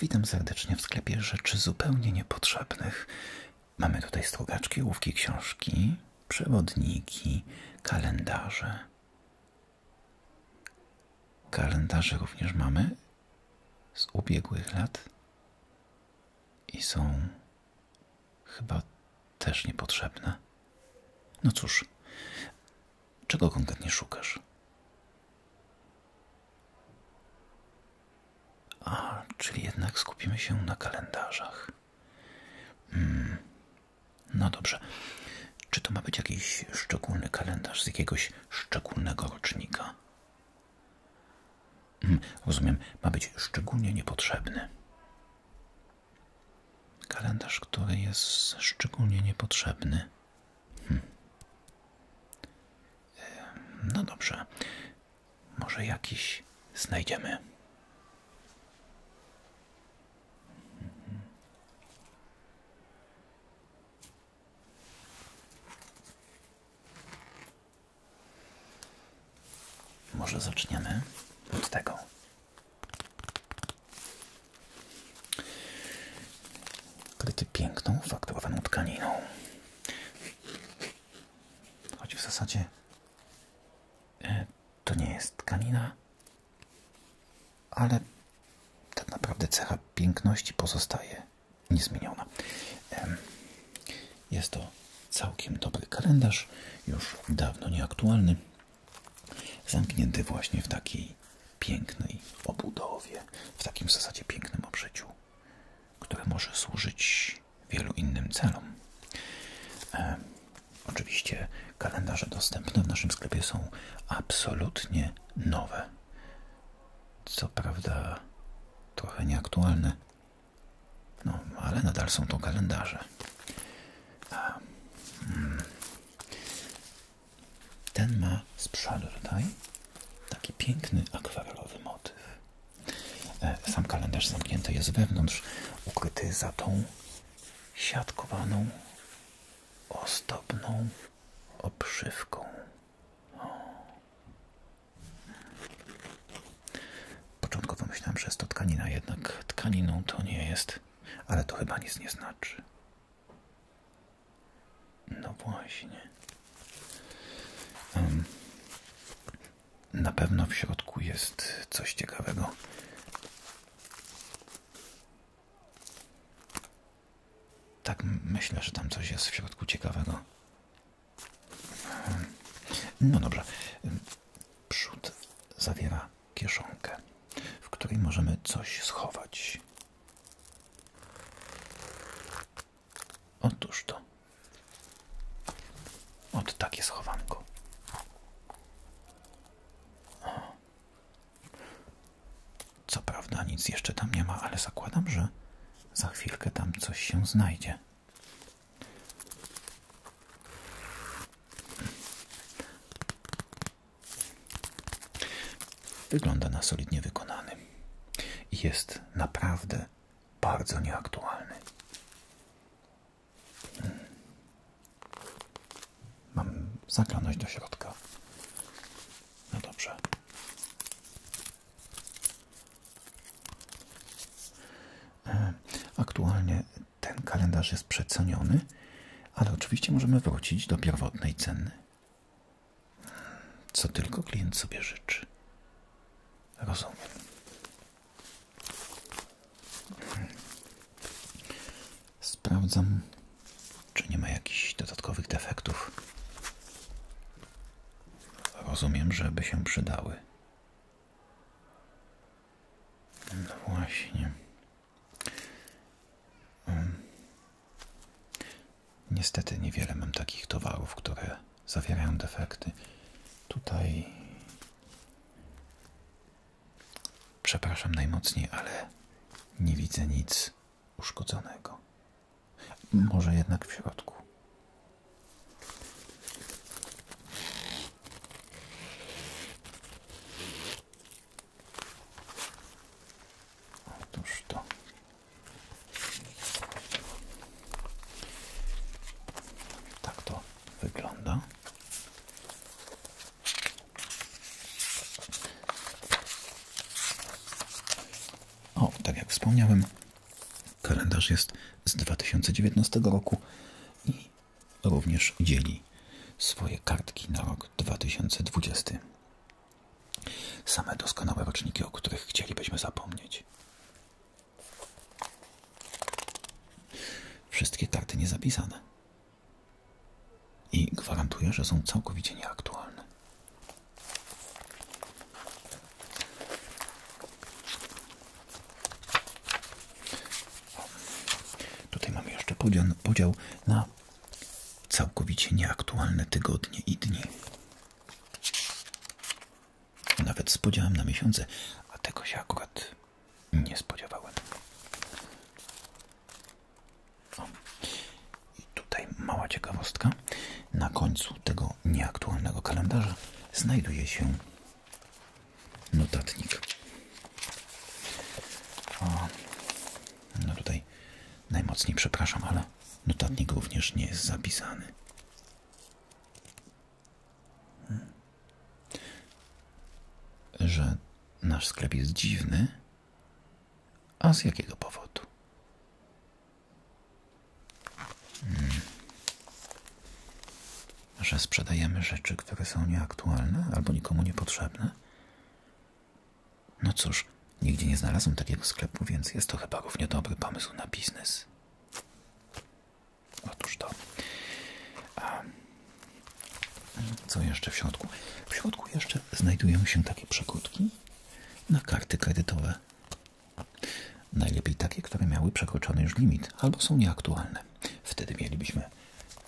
Witam serdecznie w sklepie rzeczy zupełnie niepotrzebnych. Mamy tutaj sługaczki, ołówki, książki, przewodniki, kalendarze. Kalendarze również mamy z ubiegłych lat i są chyba też niepotrzebne. No cóż, czego konkretnie szukasz? A, czyli jednak skupimy się na kalendarzach. Hmm. No dobrze. Czy to ma być jakiś szczególny kalendarz z jakiegoś szczególnego rocznika? Hmm, rozumiem, ma być szczególnie niepotrzebny. Kalendarz, który jest szczególnie niepotrzebny. Hmm. No dobrze, może jakiś znajdziemy. Może zaczniemy od tego kryty piękną, fakturowaną tkaniną. Choć w zasadzie e, to nie jest tkanina, ale tak naprawdę cecha piękności pozostaje niezmieniona. Jest to całkiem dobry kalendarz, już dawno nieaktualny, zamknięty właśnie w takiej pięknej obudowie, w takim w zasadzie pięknym obżyciu, które może służyć wielu innym celom. E, oczywiście kalendarze dostępne w naszym sklepie są absolutnie nowe. Co prawda trochę nieaktualne, no ale nadal są to kalendarze. Hmm. Ten ma z przodu tutaj taki piękny akwarelowy motyw. E, sam kalendarz zamknięty jest wewnątrz, ukryty za tą siatkowaną, ozdobną obszywką. Początkowo myślałem, że jest to tkanina, jednak tkaniną to nie jest, ale to chyba nic nie znaczy. No właśnie. Na pewno w środku jest coś ciekawego. Tak, myślę, że tam coś jest w środku ciekawego. No dobrze. Przód zawiera kieszonkę, w której możemy coś schować. Otóż to. Od takie schowanko. Co prawda nic jeszcze tam nie ma, ale zakładam, że za chwilkę tam coś się znajdzie. Wygląda na solidnie wykonany i jest naprawdę bardzo nieaktualny. Hmm. Mam zaklanąć do środka. No dobrze. E, aktualnie ten kalendarz jest przeceniony, ale oczywiście możemy wrócić do pierwotnej ceny co tylko klient sobie życzy. Rozumiem. Sprawdzam, czy nie ma jakichś dodatkowych defektów. Rozumiem, żeby się przydały. No właśnie. Niestety niewiele mam takich towarów, które zawierają defekty. Tutaj przepraszam najmocniej, ale nie widzę nic uszkodzonego. Może jednak w środku. Otóż to. Tak to wygląda. O, tak jak wspomniałem, kalendarz jest z dwa tysiące dziewiętnastego roku i również dzieli swoje kartki na rok dwudziesty. Same doskonałe roczniki, o których chcielibyśmy zapomnieć. Wszystkie tarty niezapisane. I gwarantuję, że są całkowicie nieaktualne. tutaj mamy jeszcze podział na całkowicie nieaktualne tygodnie i dni. Nawet spodziałem podziałem na miesiące, a tego się akurat nie spodziewałem. O. I tutaj mała ciekawostka. Na końcu tego nieaktualnego kalendarza znajduje się notatnik. O. No tutaj najmocniej przepraszam, ale Dobra, notatnik również nie jest zapisany. Hmm. Że nasz sklep jest dziwny? A z jakiego powodu? Hmm. Że sprzedajemy rzeczy, które są nieaktualne albo nikomu niepotrzebne? No cóż, Nigdzie nie znalazłem takiego sklepu, więc jest to chyba równie dobry pomysł na biznes. Otóż to. co jeszcze w środku? W środku jeszcze znajdują się takie przekrótki na karty kredytowe. Najlepiej takie, które miały przekroczony już limit albo są nieaktualne. Wtedy mielibyśmy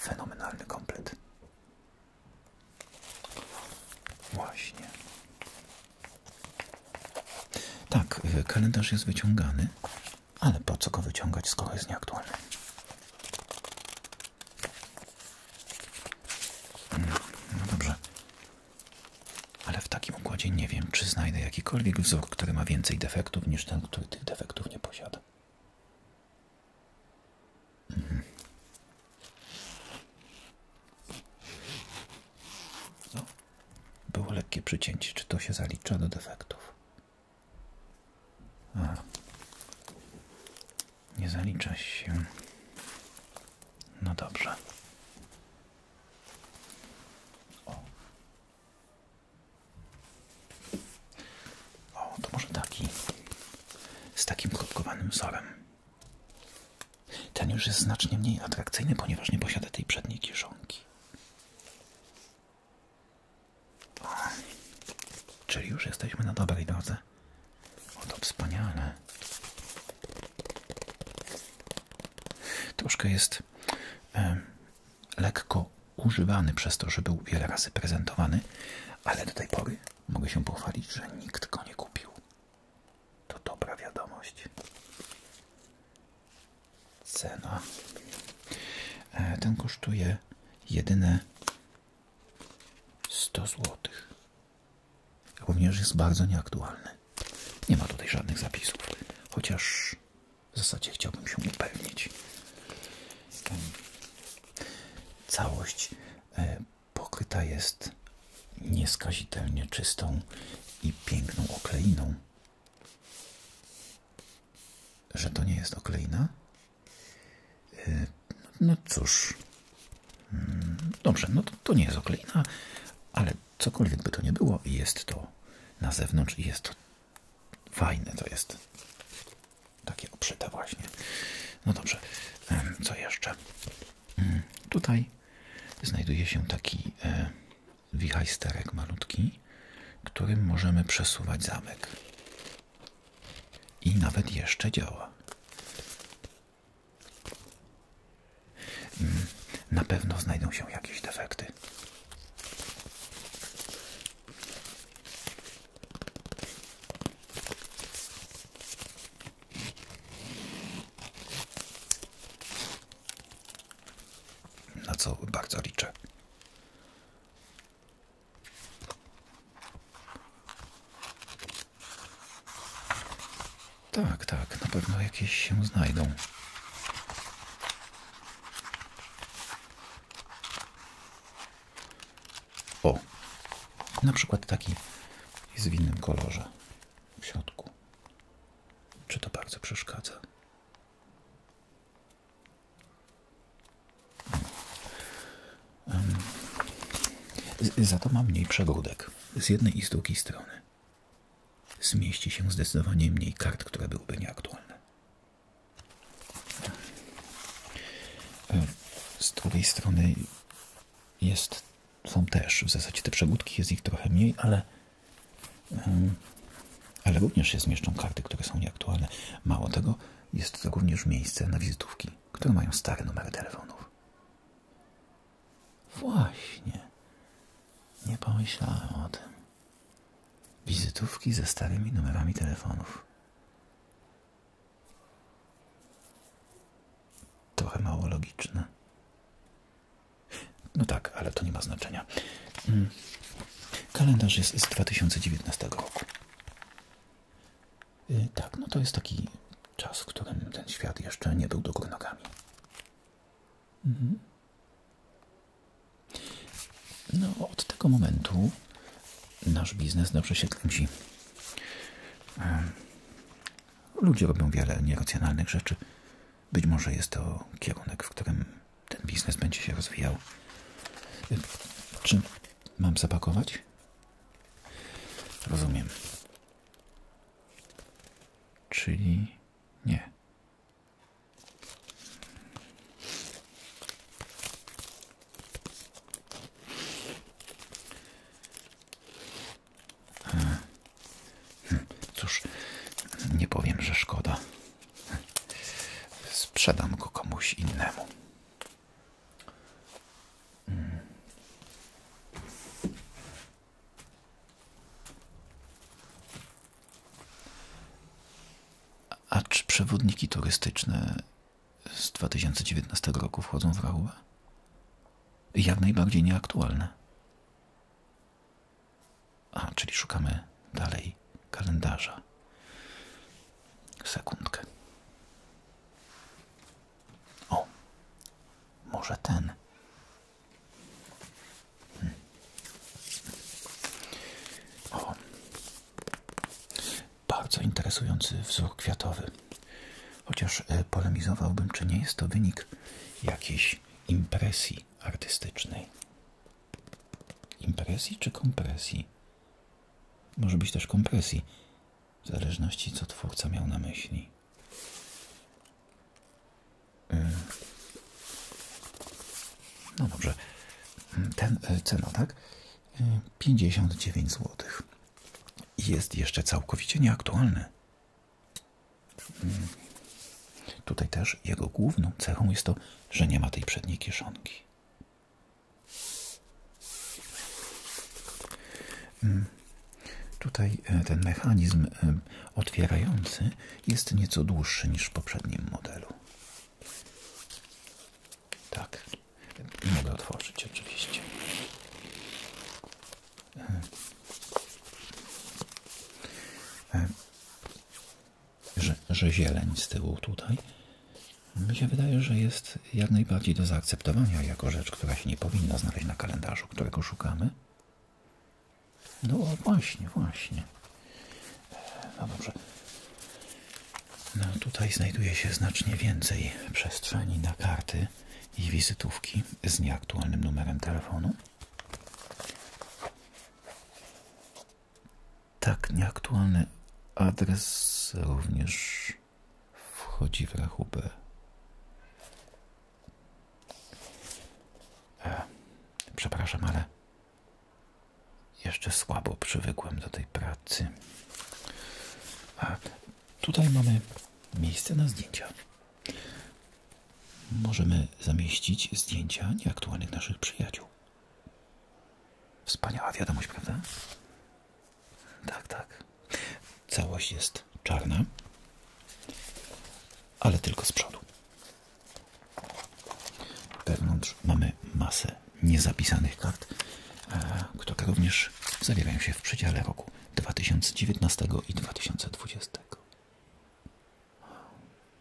fenomenalny komplet. Właśnie. Tak, y, kalendarz jest wyciągany, ale po co go wyciągać, skoro jest nieaktualny? Mm, no dobrze. Ale w takim układzie nie wiem, czy znajdę jakikolwiek wzór, który ma więcej defektów niż ten, który tych defektów nie posiada. Mhm. Było lekkie przycięcie. Czy to się zalicza do defektów? A. Nie zalicza się. No dobrze. O. o, to może taki. Z takim kropkowanym wzorem. Ten już jest znacznie mniej atrakcyjny, ponieważ nie posiada tej przedniej kieszonki. O, czyli już jesteśmy na dobrej drodze. O, to wspaniale. Troszkę jest e, lekko używany przez to, że był wiele razy prezentowany, ale do tej pory mogę się pochwalić, że nikt go nie kupił. To dobra wiadomość. Cena. E, ten kosztuje jedyne 100 zł. Również jest bardzo nieaktualny. Nie ma tutaj żadnych zapisów. Chociaż w zasadzie chciałbym się upewnić. Całość e, pokryta jest nieskazitelnie czystą i piękną okleiną. Że to nie jest okleina? E, no cóż, mm, dobrze, no to, nie jest okleina, ale cokolwiek by to nie było, i jest to na zewnątrz i jest fajne, to jest takie obszyte właśnie. No dobrze, co jeszcze? Mm, tutaj znajduje się taki e, wichajsterek malutki, którym możemy przesuwać zamek. I nawet jeszcze działa. Mm, na pewno znajdą się jakieś defekty. Na co bardzo liczę. Tak, tak, na pewno jakieś się znajdą. O, na przykład taki jest w innym kolorze w środku. Czy to bardzo przeszkadza? Za to ma mniej przegródek z jednej i z drugiej strony. Zmieści się zdecydowanie mniej kart, które byłyby nieaktualne. Z drugiej strony jest są też w zasadzie te przegódki, jest ich trochę mniej, ale, ale również się zmieszczą karty, które są nieaktualne. Mało tego, jest to również miejsce na wizytówki, które mają stare numery telefonów. Właśnie. Nie pomyślałem o tym. Wizytówki ze starymi numerami telefonów. Trochę mało logiczne. No tak, ale to nie ma znaczenia. Mm. Kalendarz jest z 2019 roku. Y, tak, no to jest taki czas, w którym ten świat jeszcze nie był do góry nogami. Mhm. No, od tego momentu nasz biznes dobrze się kręci. Ludzie robią wiele nieracjonalnych rzeczy, być może jest to kierunek, w którym ten biznes będzie się rozwijał. Czy mam zapakować? Rozumiem. Czyli nie. Cóż, nie powiem, że szkoda. Sprzedam go komuś innemu. A czy przewodniki turystyczne z 2019 roku wchodzą w rachubę? Jak najbardziej nieaktualne. A, czyli szukamy dalej kalendarza. Sekundkę. O, może ten. Hmm. O, bardzo interesujący wzór kwiatowy. Chociaż e, polemizowałbym, czy nie jest to wynik jakiejś impresji artystycznej. Impresji czy kompresji? Może być też kompresji, w zależności co twórca miał na myśli. Y, no dobrze. Ten, y, cena, tak? 59 y, zł. Jest jeszcze całkowicie nieaktualny. Mm. Tutaj też jego główną cechą jest to, że nie ma tej przedniej kieszonki. Mm. Tutaj e, ten mechanizm e, otwierający jest nieco dłuższy niż w poprzednim modelu. Tak, mogę otworzyć oczywiście. E że, że zieleń z tyłu tutaj mi się wydaje, że jest jak najbardziej do zaakceptowania jako rzecz, która się nie powinna znaleźć na kalendarzu, którego szukamy. No właśnie, właśnie. No dobrze. No tutaj znajduje się znacznie więcej przestrzeni na karty i wizytówki z nieaktualnym numerem telefonu. Tak, nieaktualny adres również wchodzi w rachubę. E, przepraszam, ale jeszcze słabo przywykłem do tej pracy. tutaj mamy miejsce na zdjęcia. Możemy zamieścić zdjęcia nieaktualnych naszych przyjaciół. Wspaniała wiadomość, prawda? Tak, tak. Całość jest czarna, ale tylko z przodu. Wewnątrz mamy masę niezapisanych kart, e, które również zawierają się w przedziale roku 2019 i 2020.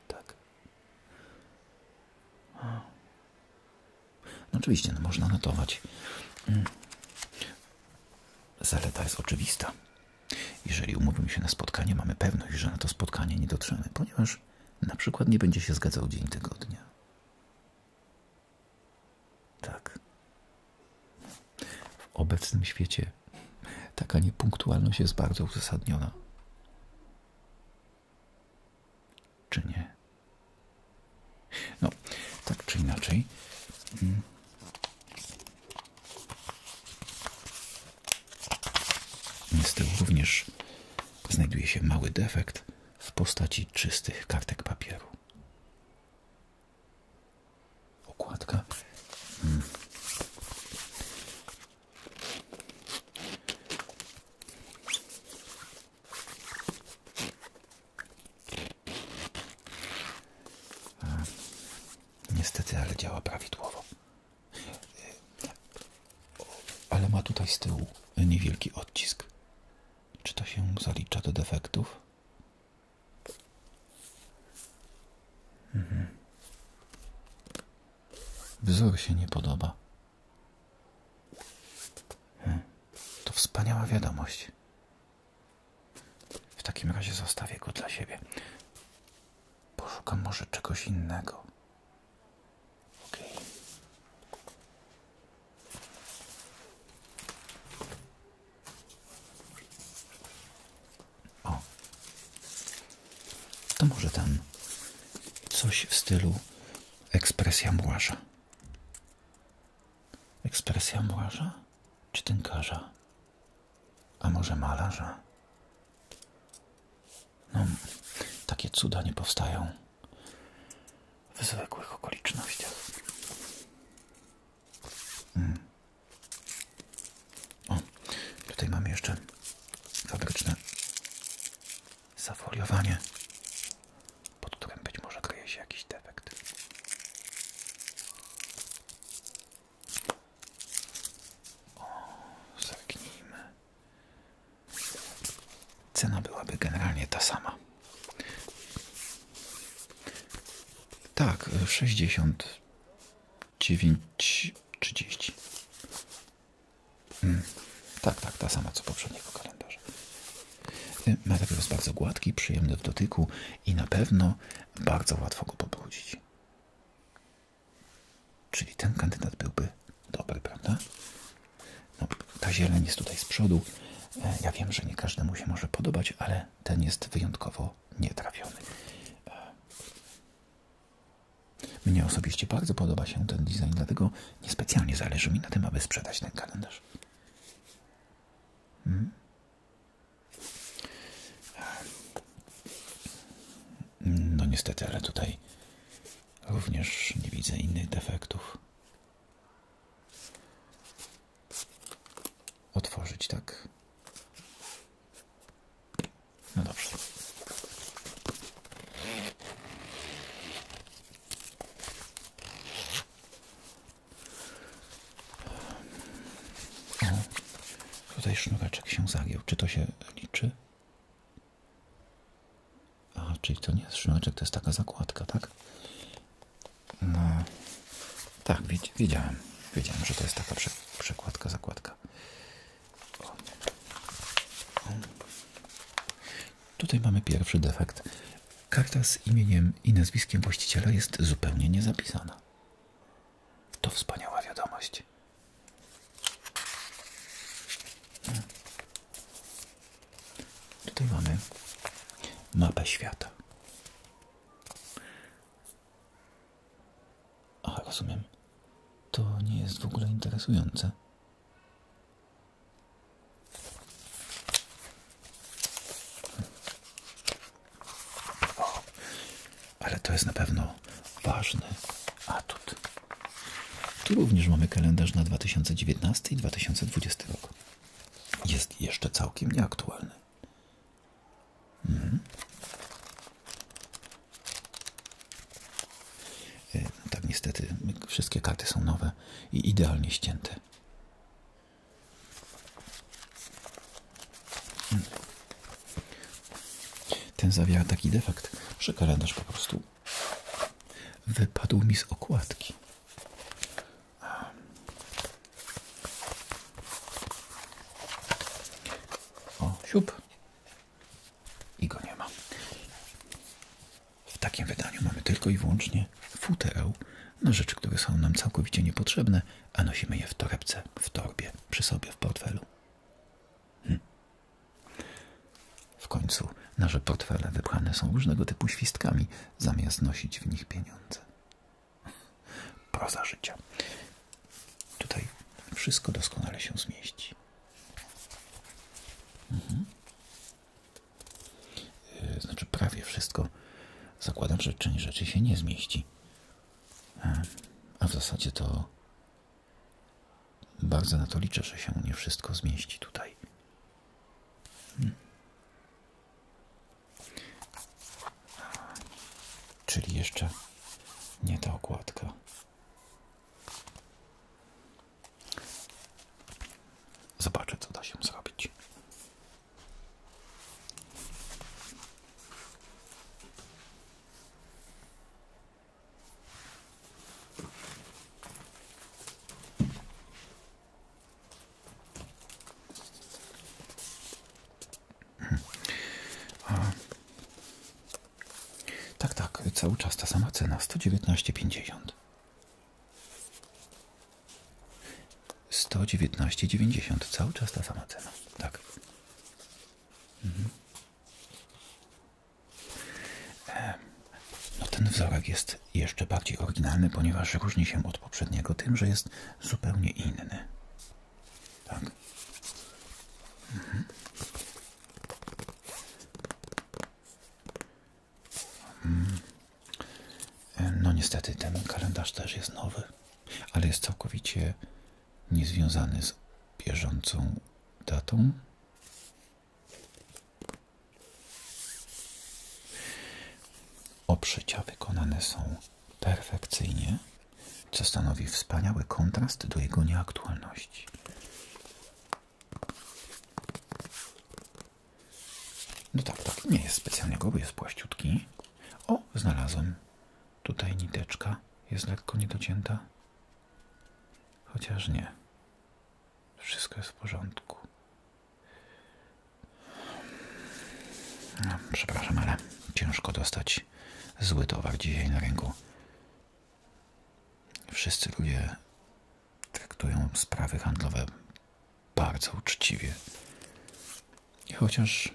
Tak. No oczywiście, no można notować. Mm. Zaleta jest oczywista. Jeżeli umówimy się na spotkanie, mamy pewność, że na to spotkanie nie dotrzemy, ponieważ na przykład nie będzie się zgadzał dzień tygodnia. Tak. W obecnym świecie Taka niepunktualność jest bardzo uzasadniona. Czy nie? No, tak czy inaczej. Mm. Z tyłu również znajduje się mały defekt w postaci czystych kartek papieru. Okładka mm. Niestety, ale działa prawidłowo. Ale ma tutaj z tyłu niewielki odcisk. Czy to się zalicza do defektów? Mhm. Wzór się nie podoba. Hmm. To wspaniała wiadomość. W takim razie zostawię go dla siebie. Poszukam może czegoś innego. Ok. O, to może tam coś w stylu ekspresja młaża. Ekspresja młaża czy tynkarza? A może malarza? No, takie cuda nie powstają w zwykłych okolicznościach. Mm. O, tutaj mamy jeszcze fabryczne zafoliowanie, pod którym być może kryje się jakiś defekt. O, zerknijmy. Cena byłaby generalnie ta sama. Tak, 69 30. Hmm. Tak, tak, ta sama co poprzedniego kalendarza. Y, Materiał jest bardzo gładki, przyjemny w dotyku i na pewno bardzo łatwo go pobrudzić. Czyli ten kandydat byłby dobry, prawda? No, ta zieleń jest tutaj z przodu. Y, ja wiem, że nie każdemu się może podobać, ale ten jest wyjątkowo nietrafiony. Y, mnie osobiście bardzo podoba się ten design, dlatego niespecjalnie zależy mi na tym, aby sprzedać ten kalendarz. Hmm? No niestety, ale tutaj również nie widzę innych defektów. Otworzyć, tak? No dobrze. tutaj sznureczek się zagieł, Czy to się liczy? A, czyli to nie jest sznureczek, to jest taka zakładka, tak? No, tak, wiedziałem. Wiedziałem, że to jest taka przekładka, zakładka. Tutaj mamy pierwszy defekt. Karta z imieniem i nazwiskiem właściciela jest zupełnie niezapisana. To wspaniała wiadomość. Tutaj mamy mapę świata aha rozumiem. To nie jest w ogóle interesujące. ale to jest na pewno ważny atut. Tu również mamy kalendarz na 2019 i 2020 rok. Jest jeszcze całkiem nieaktualny. Mhm. E, no tak niestety wszystkie karty są nowe i idealnie ścięte. Ten zawiera taki defekt, że kalendarz po prostu wypadł mi z okładki. O, siup. I go nie ma. W takim wydaniu mamy tylko i wyłącznie futereł na rzeczy, które są nam całkowicie niepotrzebne, a nosimy je w torebce, w torbie, przy sobie, w portfelu. Hm. W końcu nasze portfele wybrane są różnego typu świstkami, zamiast nosić w nich pieniądze. Proza życia. Tutaj wszystko doskonale się zmieści. Mhm. E, znaczy prawie wszystko. Zakładam, że część rzeczy się nie zmieści. E, a w zasadzie to bardzo na to liczę, że się nie wszystko zmieści tutaj. Hmm. Czyli jeszcze nie ta okładka. Zobaczę, co da się zrobić. Tak, tak, cały czas ta sama cena 119,50. 119,90 cały czas ta sama cena. Tak. Mhm. E, no ten wzorek jest jeszcze bardziej oryginalny, ponieważ różni się od poprzedniego tym, że jest zupełnie inny. Tak. Mhm. Mm. No niestety ten kalendarz też jest nowy, ale jest całkowicie niezwiązany z bieżącą datą. Obszycia wykonane są perfekcyjnie, co stanowi wspaniały kontrast do jego nieaktualności. No tak, tak, nie jest specjalnie gruby, jest płaściutki. O, znalazłem. Tutaj niteczka jest lekko niedocięta. Chociaż nie. Wszystko jest w porządku. No, przepraszam, ale ciężko dostać zły towar dzisiaj na ręku. Wszyscy ludzie traktują sprawy handlowe bardzo uczciwie. I chociaż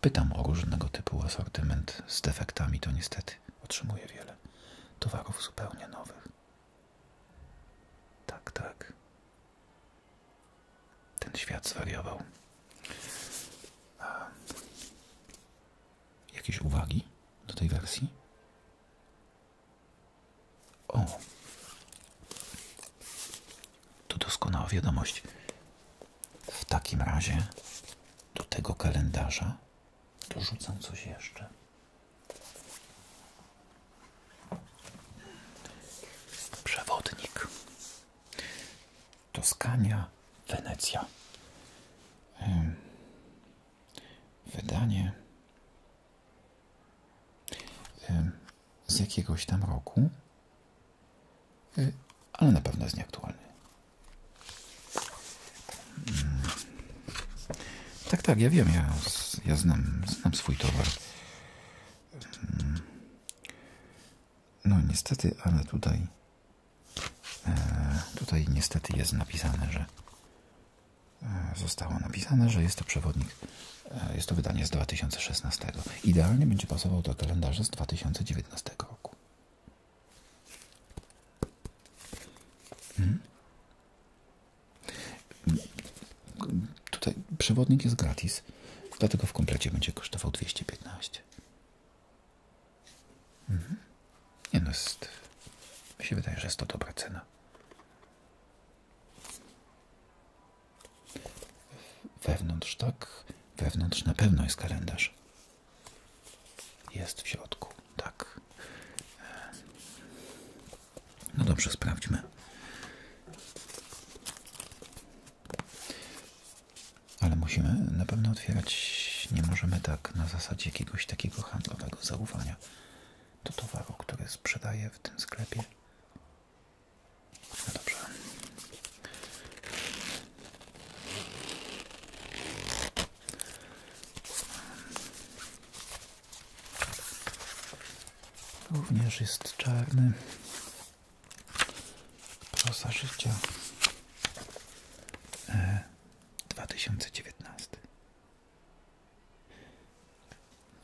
pytam o różnego typu asortyment z defektami, to niestety otrzymuję wiele towarów zupełnie nowych. Tak, tak. Ten świat zwariował. Jakieś uwagi do tej wersji? O! To doskonała wiadomość. W takim razie do tego kalendarza dorzucam coś jeszcze. Przewodnik. Toskania, Wenecja wydanie z jakiegoś tam roku, y, ale na pewno jest nieaktualny. Mm. Tak, tak, ja wiem, ja, ja znam, znam swój towar. Mm. No niestety, ale tutaj E, tutaj niestety jest napisane, że e, zostało napisane, że jest to przewodnik, e, jest to wydanie z 2016. Idealnie będzie pasował do kalendarza z 2019 roku. Hmm? Tutaj przewodnik jest gratis, dlatego w komplecie będzie kosztował 215. Mhm. Nie no, jest, mi się wydaje, że jest to dobra cena. Wewnątrz tak, wewnątrz na pewno jest kalendarz. Jest w środku, tak. No dobrze, sprawdźmy. Ale musimy na pewno otwierać, nie możemy tak na zasadzie jakiegoś takiego handlu. Tak? pełnego zaufania do towaru, który sprzedaje w tym sklepie. No dobrze. Również jest czarny. Proza życia. E, 2019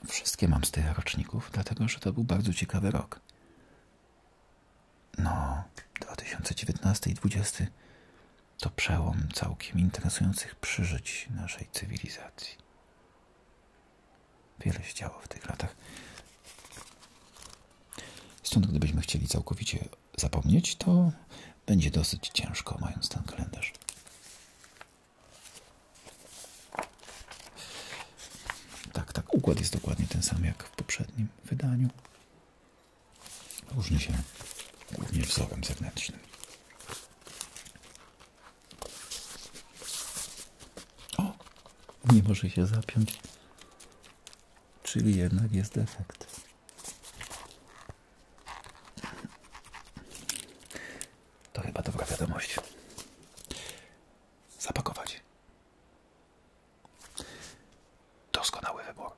Wszystkie mam z tych roczników, dlatego że to był bardzo ciekawy rok. No, 2019 i 2020 to przełom całkiem interesujących przeżyć naszej cywilizacji. Wiele się działo w tych latach. Stąd gdybyśmy chcieli całkowicie zapomnieć, to będzie dosyć ciężko, mając ten kalendarz. Tak, tak, układ jest dokładnie ten sam jak w poprzednim wydaniu. Różni się głównie wzorem zewnętrznym. O! Nie może się zapiąć. Czyli jednak jest defekt. To chyba dobra wiadomość. Zapakować. Doskonały wybór.